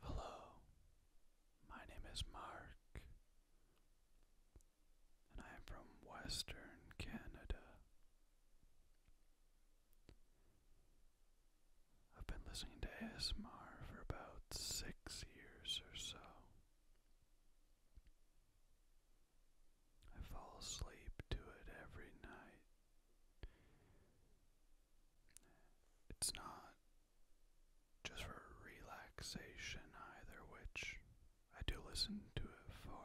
Hello, my name is Mark, and I am from Western Canada. I've been listening to ASMR for about six years or so. I fall asleep to it every night. It's not just for relaxation either, which I do listen to it for.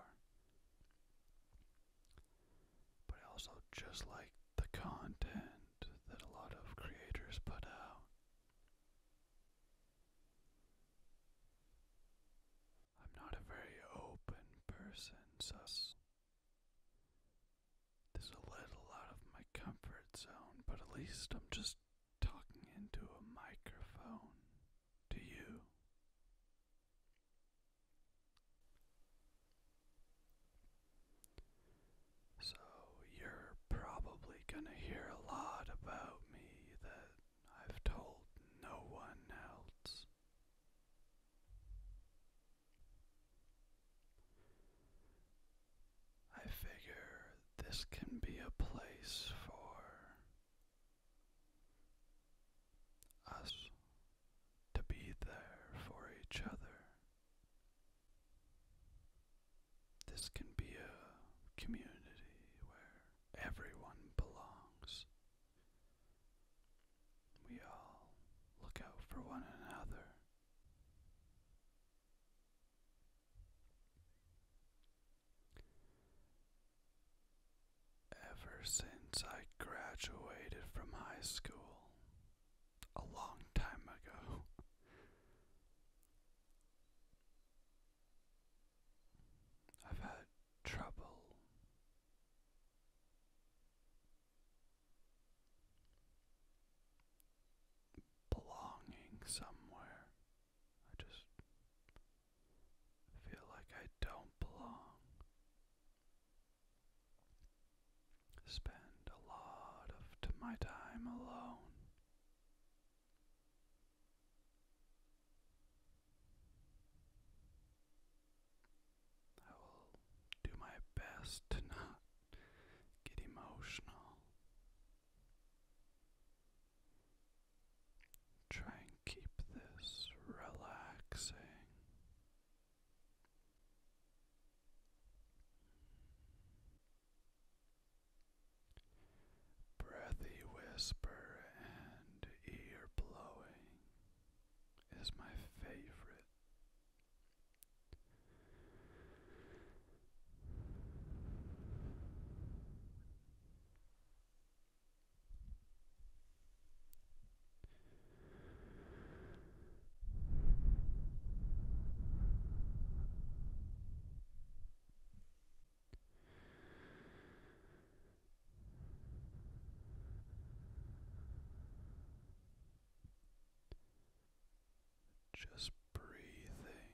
But I also just like the content that a lot of creators put out. I'm not a very open person, so this is a little out of my comfort zone, but at least I'm just talking into a microphone to you. So, you're probably gonna hear a lot about me that I've told no one else. I figure this can be a place for us to be there for each other. This can be a community where everyone belongs. We all look out for one another. Ever since I graduated from high school a long time ago, I've had trouble. Belonging somewhere. I just feel like I don't belong. Spend a lot of my time alone. I will do my best to not get emotional. Try and keep this relaxing. Breathy whisper and ear blowing is my favorite. Just breathing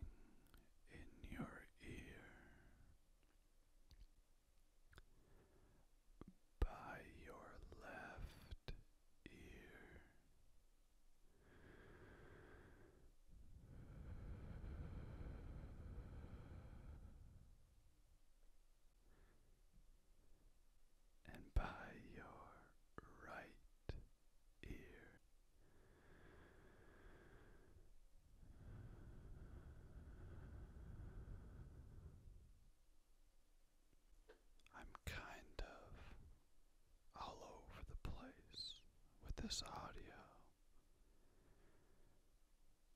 in your ear by your left ear and by your right ear. I'm kind of all over the place with this audio.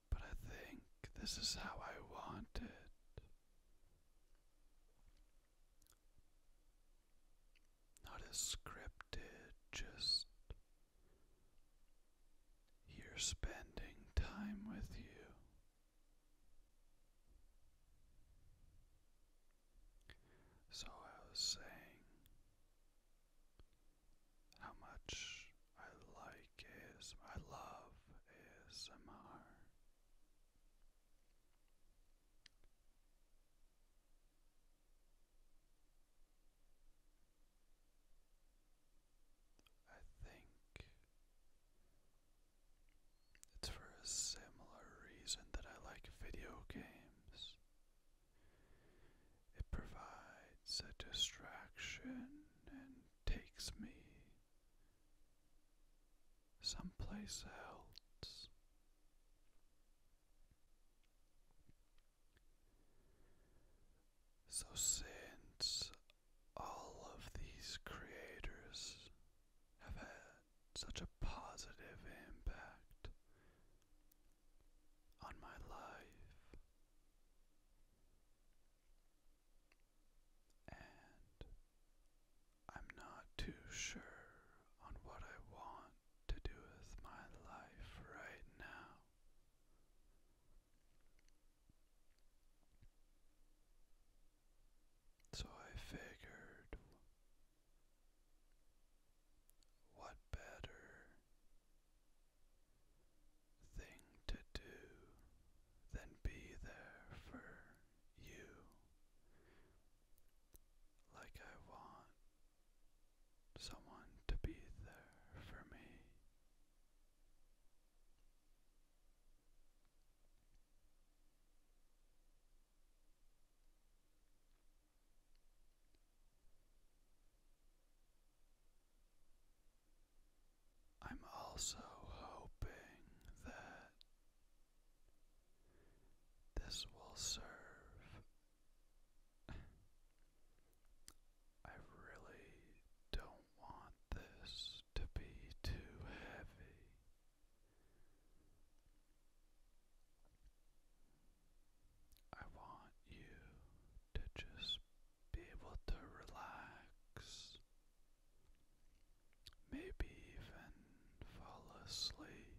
But I think this is how I want it. Not as scripted, just here spending time with you. So I was saying, how much I like is I love ASMR. I think it's for a similar reason that I like video games. It provides a distraction and takes me someplace else. So, since all of these creators have had such a positive impact on my life, and I'm not too sure on what I want to do with my life right now. So I figured what better thing to do than be there for you like I want someone to be there for me. I'm also hoping that this will serve. I really don't want this to be too heavy. I want you to just be able to relax, maybe even fall asleep.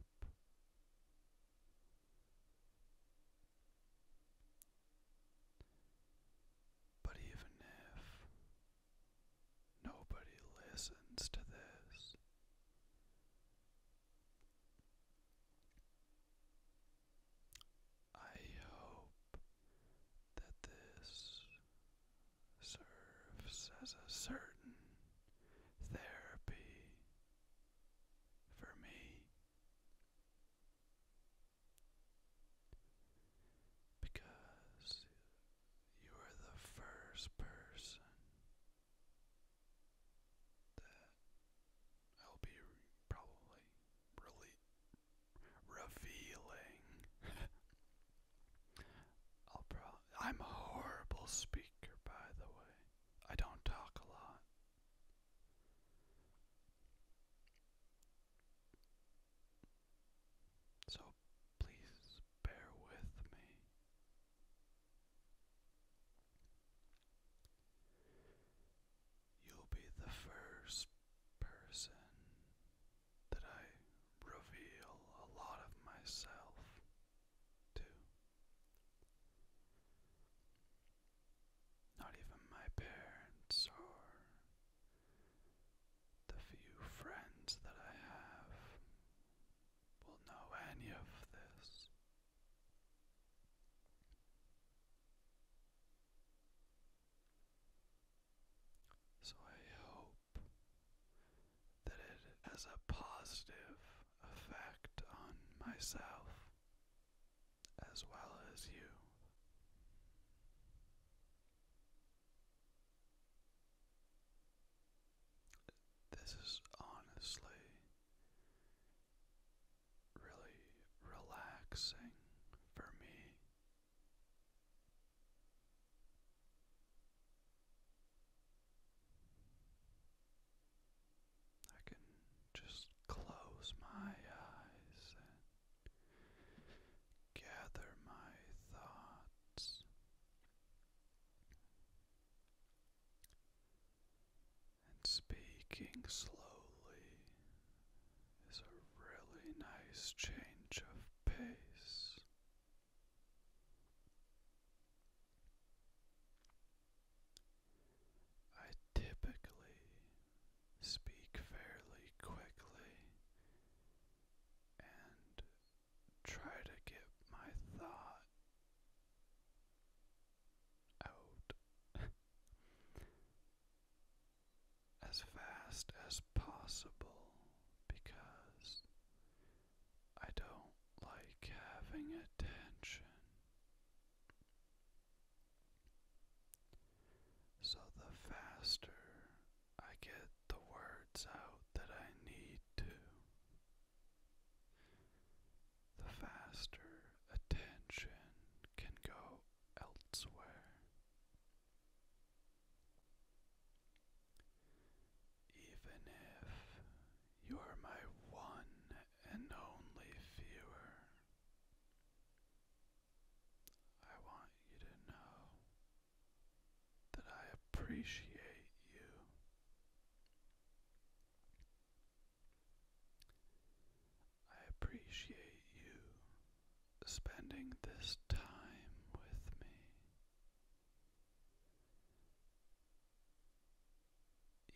But even if nobody listens to this, I hope that this serves as a certain therapy for me because you are the first person that I'll be probably really revealing. I'll pro I'm a horrible speaker, by the way. I don't talk a lot. So please bear with me. You'll be the first person that I reveal a lot of myself to. Not even my parents or the few friends that I have will know any of this. So I hope that it has a positive effect on myself as well as you. This is honestly really relaxing for me. I can just close my eyes and gather my thoughts and speaking slowly is a really nice change of pace. I typically speak fairly quickly and try to get my thought out as fast as possible because I don't like having attention. So the faster I get the words out that I need to, the faster attention can go elsewhere. Even if you are my one and only viewer, I want you to know that I appreciate you. I appreciate you spending this time with me.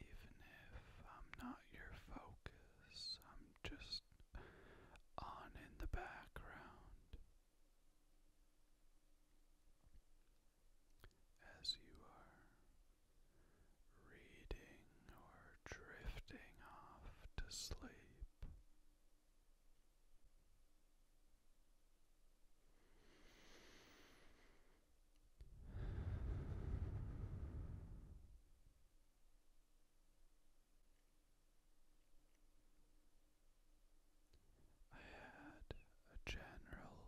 Even if I'm not your focus, I'm just on in the background. As you are reading or drifting off to sleep. I had a general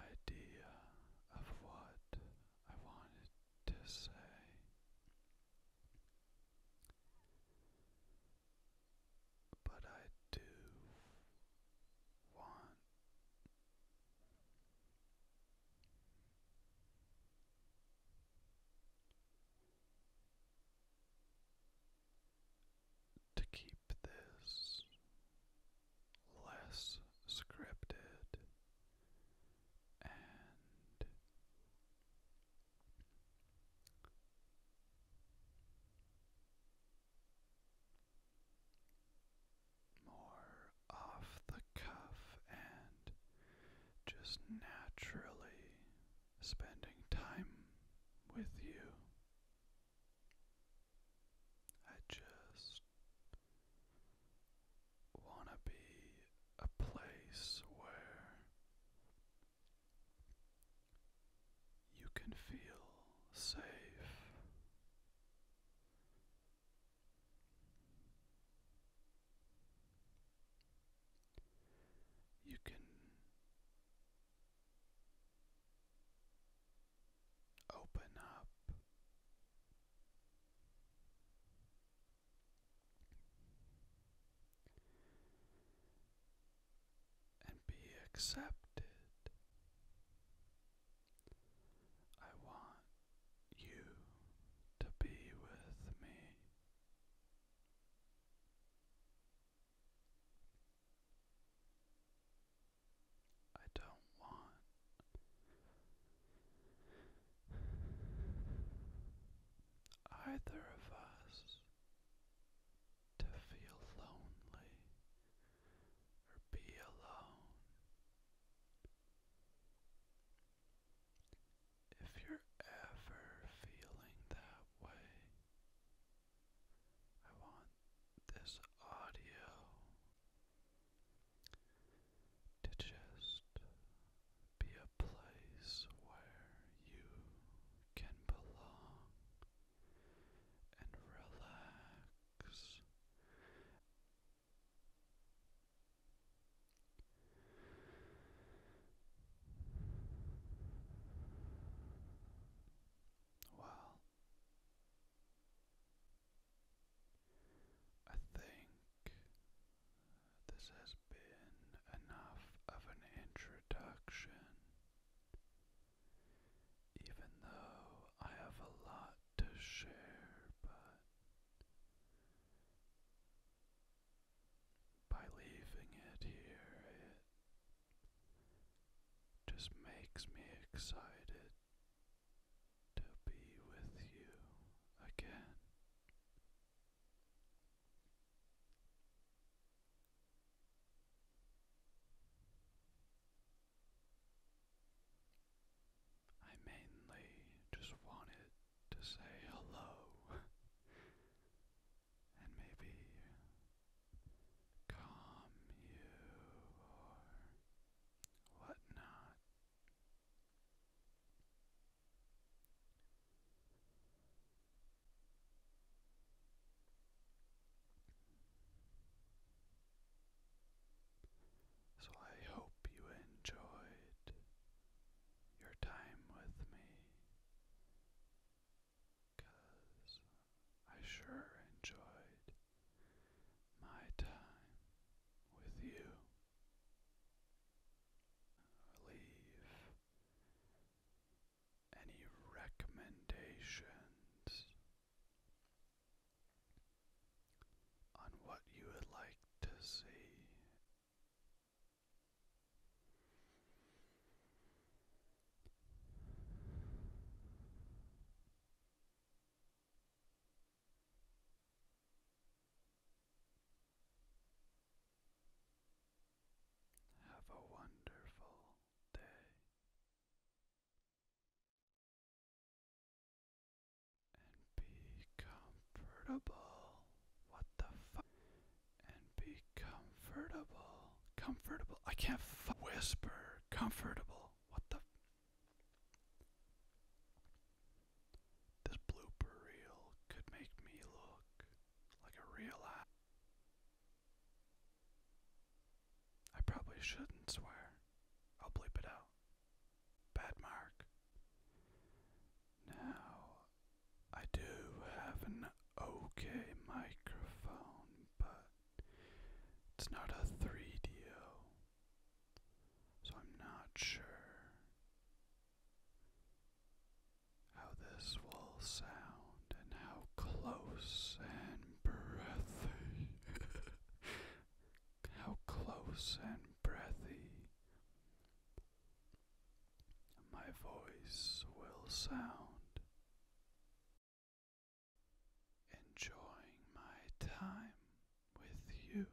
idea of what I wanted to say. But I do want to keep this less scripted and more off the cuff and just naturally spending time with you. I just want to be a place where you can feel safe. You can Open up. And be accepted. I want you to be with me. I don't want either of us to feel lonely or be alone. If you're ever feeling that way, I want this audio to just be a place where you can belong and relax. Well, I think this has been enough of an introduction, even though I have a lot to share, but by leaving it here, it just makes me excited to be with you again. I mainly just wanted to say hello and maybe calm you or whatnot. So I hope you enjoyed your time with me, I sure enjoyed my time with you. Leave any recommendations on what you would like to see. Have a wonderful day. And be comfortable. What the fuck? And be comfortable. Comfortable. I can't f whisper. Comfortable. What the? This blooper reel could make me look like a real ass. I probably shouldn't swear. I'll bleep it out. Bad mark. Now, I do have an okay microphone, but it's not a 3 d so I'm not sure how this will sound and how close and breathy, how close and breathy my voice will sound enjoying my time with you.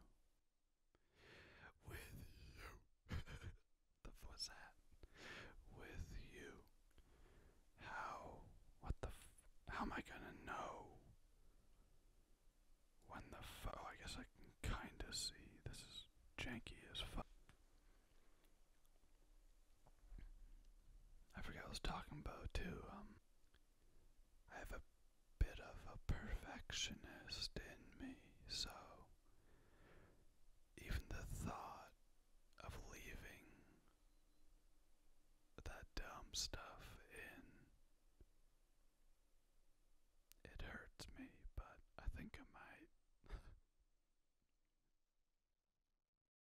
With you. the was that? With you. How? What the? how am I gonna know? When the? F oh, I guess I can kinda see. This is janky as fuck. I forgot what I was talking about too. Um, I have a bit of a perfectionist in me, so even the thought of leaving that dumb stuff in it hurts me, but I think I might.